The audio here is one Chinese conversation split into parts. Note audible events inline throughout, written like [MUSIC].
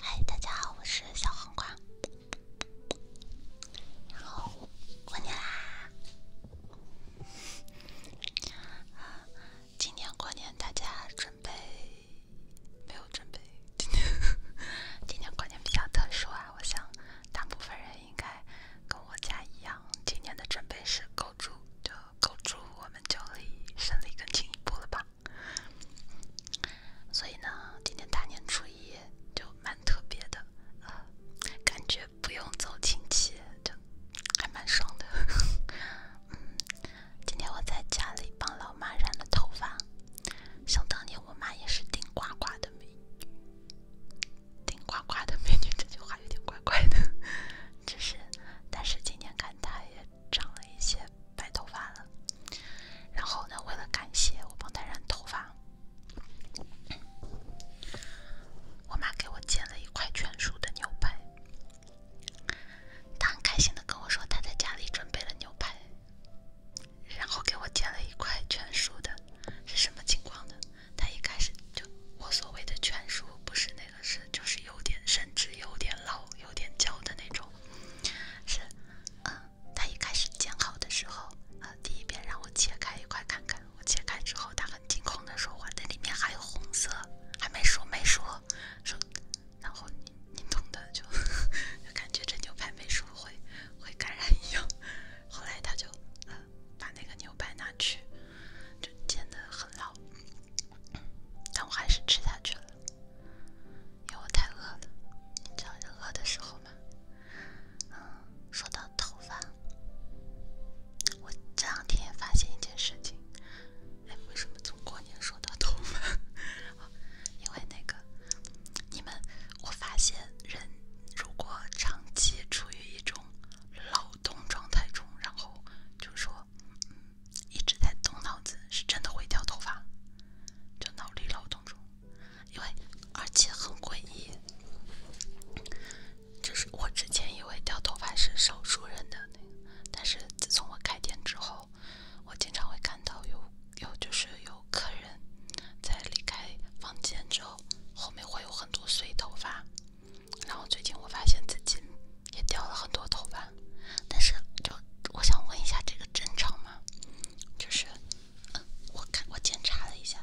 嗨，大家好，我是小黄瓜。然后过年啦，今年过年大家准备没有准备？今 [LAUGHS] 年今年过年比较特殊啊，我想大部分人应该跟我家一样，今年的准备是购猪，就构筑我们就离胜利更进一步了吧。所以呢，今天大年初一就蛮特别的，感觉不用走亲戚，就还蛮爽的。今天我在家里帮老妈染了头发，想当年我妈也是顶呱呱的美女，顶呱呱的美女，这句话有点怪怪的，[LAUGHS] 只是，但是今天看她也。长了一些白头发了，然后呢，为了感谢我帮他染头发，我妈给我煎了一块全熟的牛排。他很开心的跟我说，他在家里准备了牛排，然后给我煎了一块全熟的，是什么情况呢？他一开始就我所谓的全熟不是那。是，就是有点，甚至有点老、有点焦的那种。是，嗯，他一开始煎好的时候，呃，第一遍让我切开一块看看，我切开之后，他很惊恐的说：“哇，那里面还有红色。”还没说，没说，说，然后你你懂的，[LAUGHS] 就感觉这牛排没熟，会会感染一样。后来他就呃把那个牛排拿去，就煎的很老，但我还是吃下去了。因为我太饿了，你知道人饿的时候吗？啊，说到头发，我这两天发现一件事情，哎，为什么从过年说到头发？因为那个，你们，我发现人如果长期处于一种劳动状态中，然后就说。一直在动脑子是真的会掉头发，就脑力劳动中，因为而且很诡异，就是我之前以为掉头发是少数人的那个，但是自从我开店之后，我经常会看到有有就是有客人在离开房间之后，后面会有很多碎头发，然后最近我发现自己。也掉了很多头发，但是就我想问一下，这个正常吗？就是，我看我检查了一下，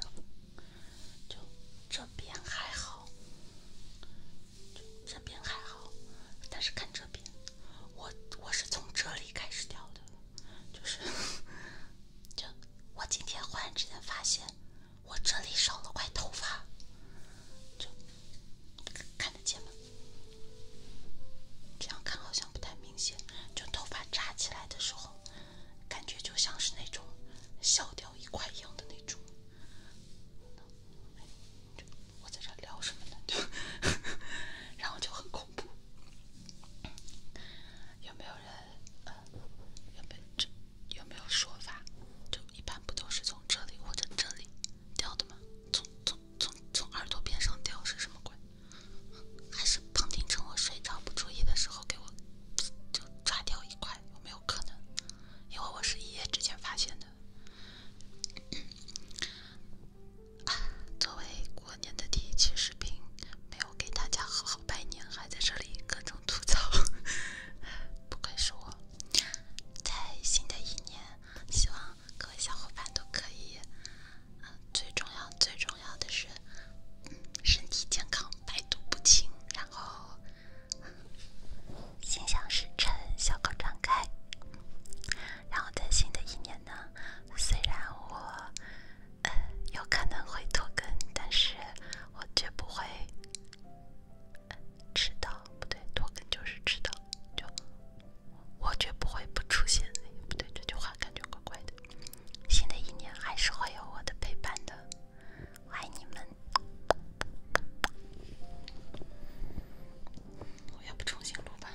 就这边还好，就这边还好，但是看这边，我我是从这里开始掉的，就是，就我今天忽然之间发现，我这里少了块头发，就看得见吗？这样看好像不太明显，就头发扎起来的时候，感觉就像是那种削掉一块一样的那种。我在这聊什么呢？就，[LAUGHS] 然后就很恐怖。有没有人？有没有这？有没有说法？就。一般不都是从这里或者这里掉的吗？从从从从耳朵边上掉是什么鬼？还是旁听者我睡着不注意的时候给我就抓掉一块？有没有可能？因为我是一夜之间发现的。作为过年的第一期视频，没有给大家好好拜年，还在这里各种吐槽。[LAUGHS] 不愧是我，在新的一年，希望。各位小伙伴都可以，嗯，最重要、最重要的是身体健康、百毒不侵，然后心想事成、笑口常开。然后在新的一年呢，虽然我嗯，有可能会拖更，但是我绝不会。迟到不对，脱就是迟到，就我绝不会不出现。不对，这句话感觉怪怪的。新的一年还是会有我的陪伴的，爱你们。我也不重新录吧。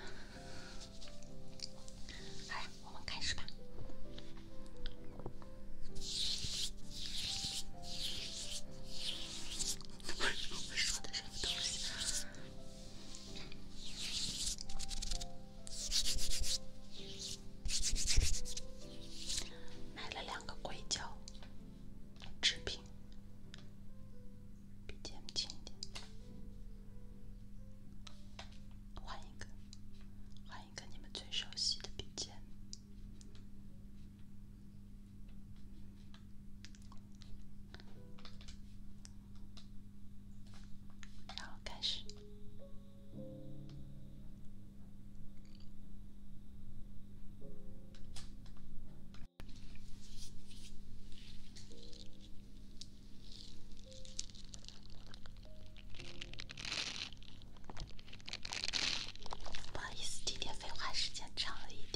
好我们开始吧。说的是。东西。买了两个硅胶制品，笔尖轻一点。换一个，换一个你们最熟悉的笔尖。然后开始。不好意思，今天废话时间长了一点。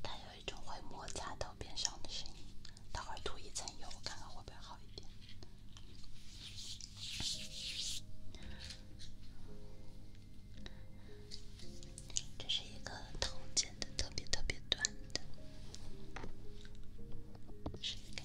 它有一种会摩擦到边上的声音，待会涂一层油，看看会不会好一点。这是一个头剪的特别特别短的质感。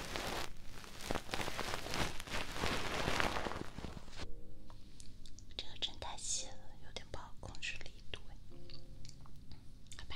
这个真太细了，有点不好控制力度，好吧。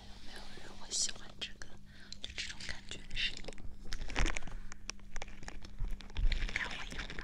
没有没有人会喜欢这个，就这种感觉的声音，应该会有吧。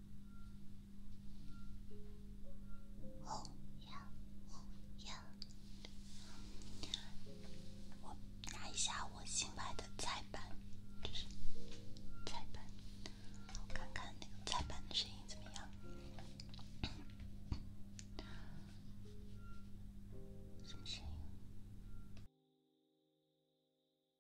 红呀，红呀！我拿一下我新买的菜板，就是菜板。我看看那个菜板的声音怎么样？什么声音？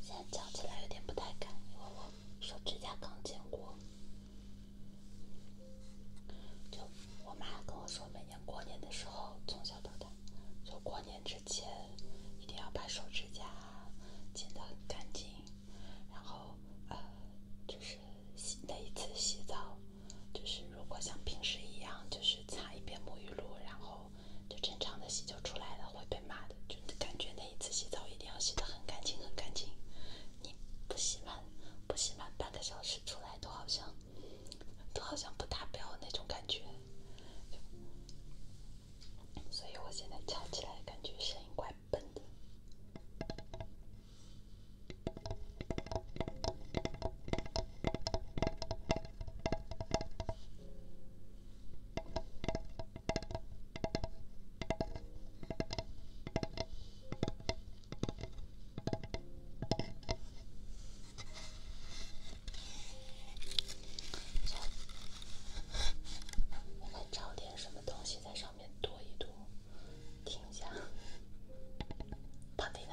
现在夹起来有点不太敢，因为我手指甲刚剪过。就我妈跟我说，每年过年的时候，从小到大，就过年之前一定要把手指甲剪得很干净。然后呃，就是那一次洗澡，就是如果像平时一样，就是擦一遍沐浴露，然后。就正常的洗就出来了，会被骂的。就感觉那一次洗澡一定要洗得很干净很干净，你不洗满，不洗满半个小时出来都好像，都好像不达标那种感觉。所以我现在翘起来感觉声音怪笨的。我找点什么东西在上面躲一躲，听一下。啪地呢。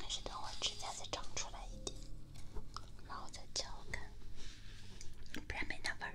还是等我指甲再长出来一点，然后再敲看，不然没那味儿。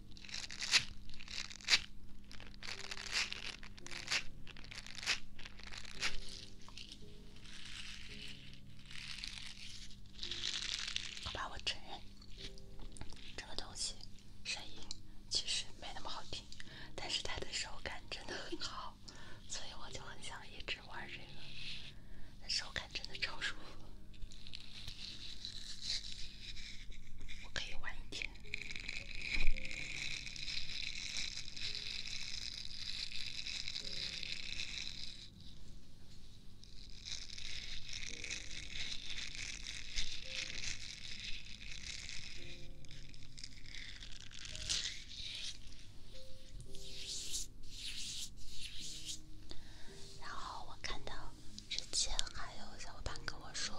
好吧，我承认这个东西声音其实没那么好听，但是它的手感真的很好，所以我就很想一直玩这个。手感真的超舒服。我可以玩一天。然后我看到。之前还有小伙伴跟我说，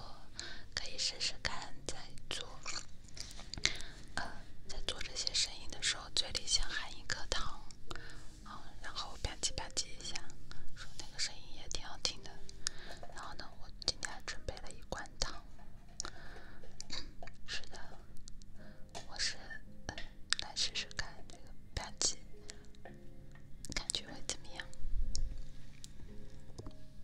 可以试试看，在做，呃，在做这些声音的时候，嘴里先含一颗糖，嗯，然后吧唧吧唧一下，说那个声音也挺好听的。然后呢，我今天还准备了一罐糖。是的，我是来试试看这个吧唧，感觉会怎么样？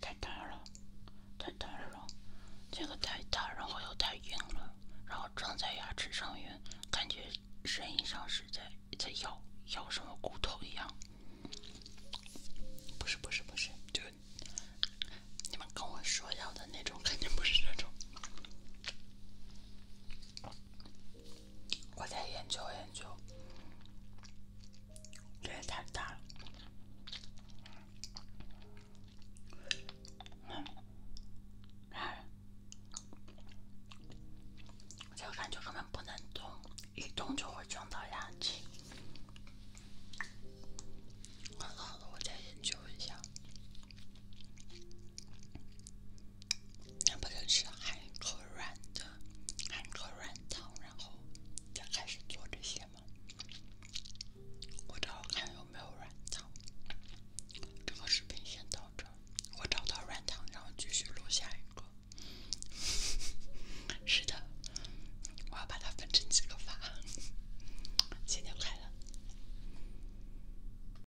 太大了，太大了，这个太大，然后又太硬了，然后装在牙齿上面，感觉声音像是在在咬咬什么骨头一样。不是不是不是，就你们跟我说要的那种，肯定不是那种。我再研究研究，这也太大了。哎，这个感觉根本不能动，一动就会撞到牙齿。好了，我再研究一下。那不就是含颗软的，含颗软糖，然后才开始做这些吗？我找看有没有软糖。这个视频先到这。我找到软糖，然后继续录下一个。[LAUGHS] 是的，我要把它分成几个发。新年快乐！